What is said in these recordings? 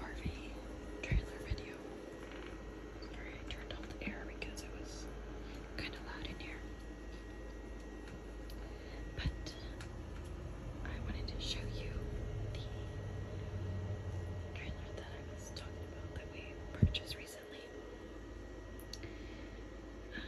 RV trailer video. Sorry, I turned off the air because it was kind of loud in here. But I wanted to show you the trailer that I was talking about that we purchased recently. Um,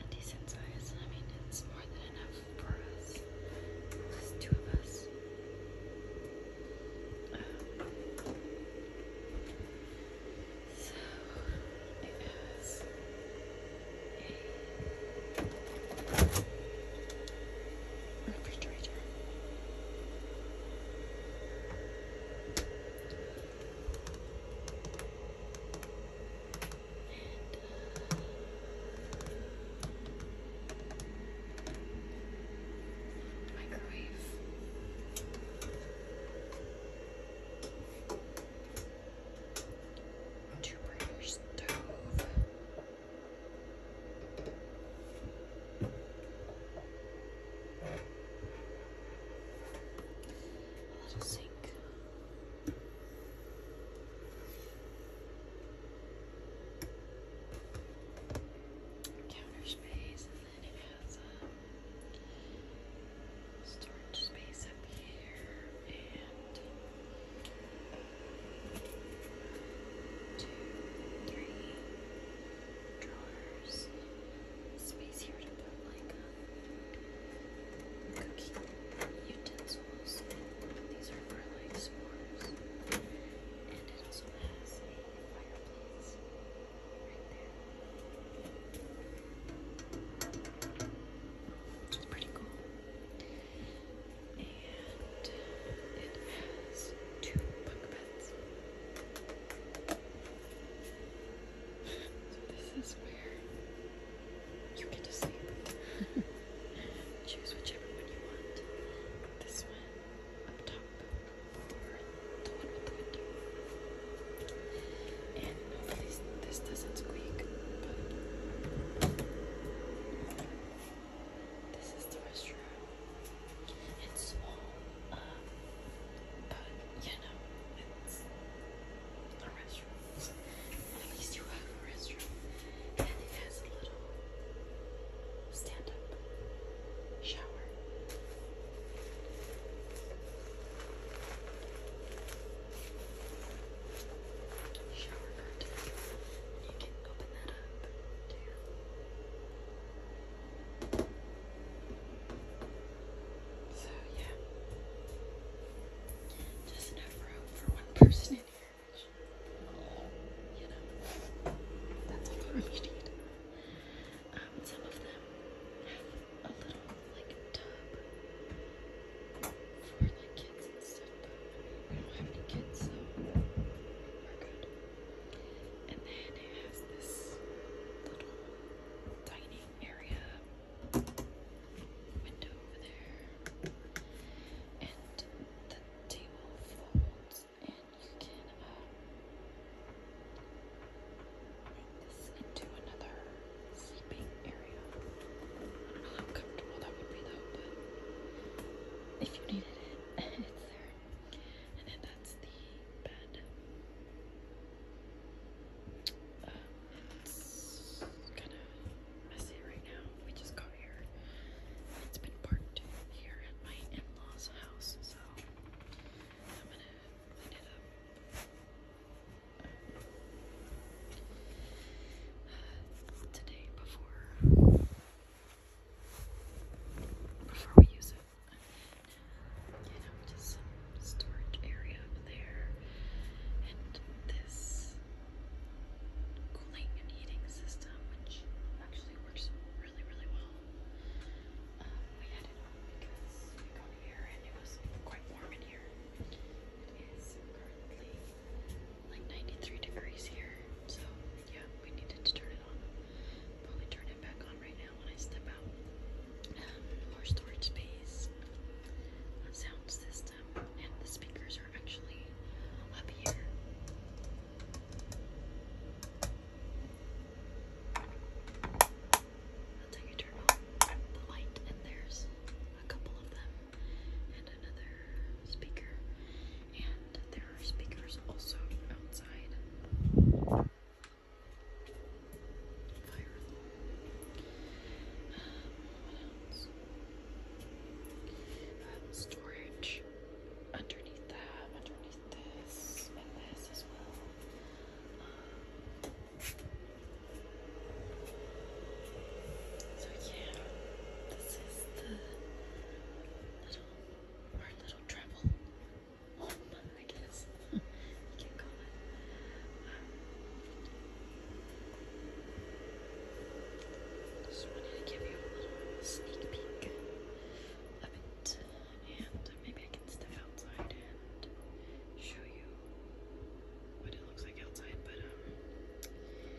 a decent size. I mean, it's more than enough for us. Just two of us. so it has refrigerator. And, uh, microwave. Two burner stove. Let it sink. Counter space, and then it has a storage space up here, and two, three, drawers. Space here to put like um, cooking utensils. These are for like s'mores. And it also has a fireplace right there. Which is pretty cool. And it has two bunk beds. So this is where you get to sleep. Choose whichever one you want. This one up top or the one with the window. And hopefully this doesn't squeak, but this is the restroom. It's small, um, but you know, it's a restroom. At least you have a restroom, and it has a little stand-up shower. Shower curtain. You can open that up so, yeah. Just enough room for one person in here, which, you know, that's all the room you need. Um, some of them have a little, like, tub for, like, kids and stuff, but I mean, we don't have any kids, so we're good. And then it has this little dining area window over there. And the table folds and you can uh, this into another sleeping area. how comfortable that would be though, but if you needed it, it's there. And then that's the bed. Uh, it's kind of messy right now. We just got here. It's been parked here at my in-laws' house, so I'm gonna clean it up. Uh, today before before we use it. You know, just storage area up there. And this cooling and heating system, which actually works really, really well. Um, we had it on because we got here and it was quite warm in here like 93 degrees here, so yeah, we needed to turn it on. Probably turn it back on right now when I step out. more storage space, sound system, and the speakers are actually up here. That's how you turn on the light, and there's a couple of them, and another speaker, there are speakers also outside. Fire um, um, storage underneath that, underneath this, and this as well. Um, so yeah, this is the little, our little travel I guess you um, just wanted to give you a little sneak peek of it, and maybe I can step outside and show you what it looks like outside, but um,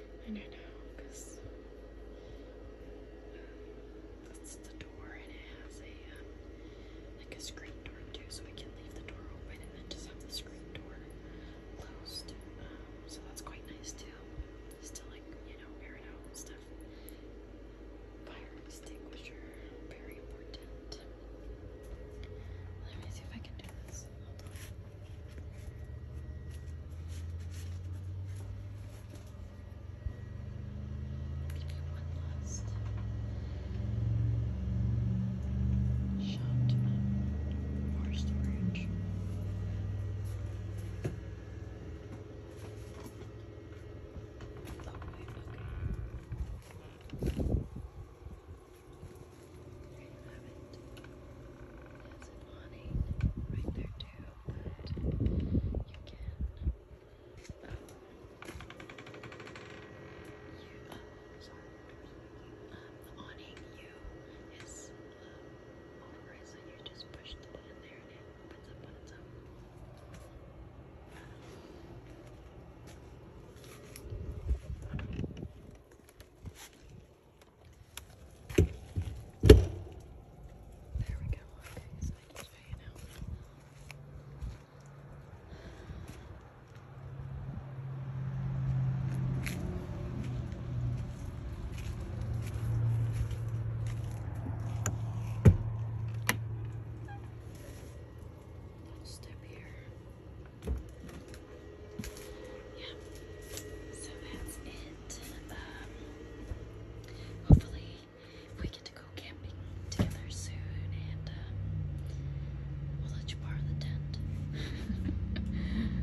I don't know, because that's the door and it has a, um, like a screen door too, so I can leave the door open and then just have the screen door closed. Um, so that's quite nice too. Just like, you know, air out stuff. Fire extinguisher, very important. Let me see if I can do this. Maybe one last shot of more storage. Okay, okay. There you right there too, but you can um, you, the awning you is motorized you just push the button there and it opens up on its there we go. Okay, so I just fade out. Let's step here. Yeah. So that's it. Um, hopefully we get to go camping together soon and um, we'll let you borrow the tent.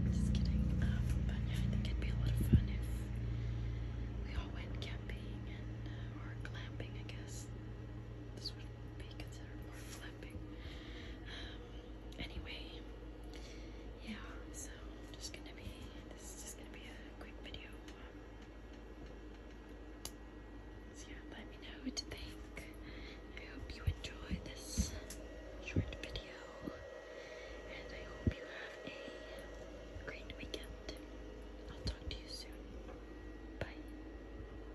Just kidding. Um, but yeah, I think it'd be a lot of fun if we all went camping and uh, or glamping, I guess. This would be considered more clapping. Um, anyway, yeah, so just gonna be, this is just gonna be a quick video. So yeah, let me know what you think. I hope you enjoy this short video, and I hope you have a great weekend. I'll talk to you soon. Bye.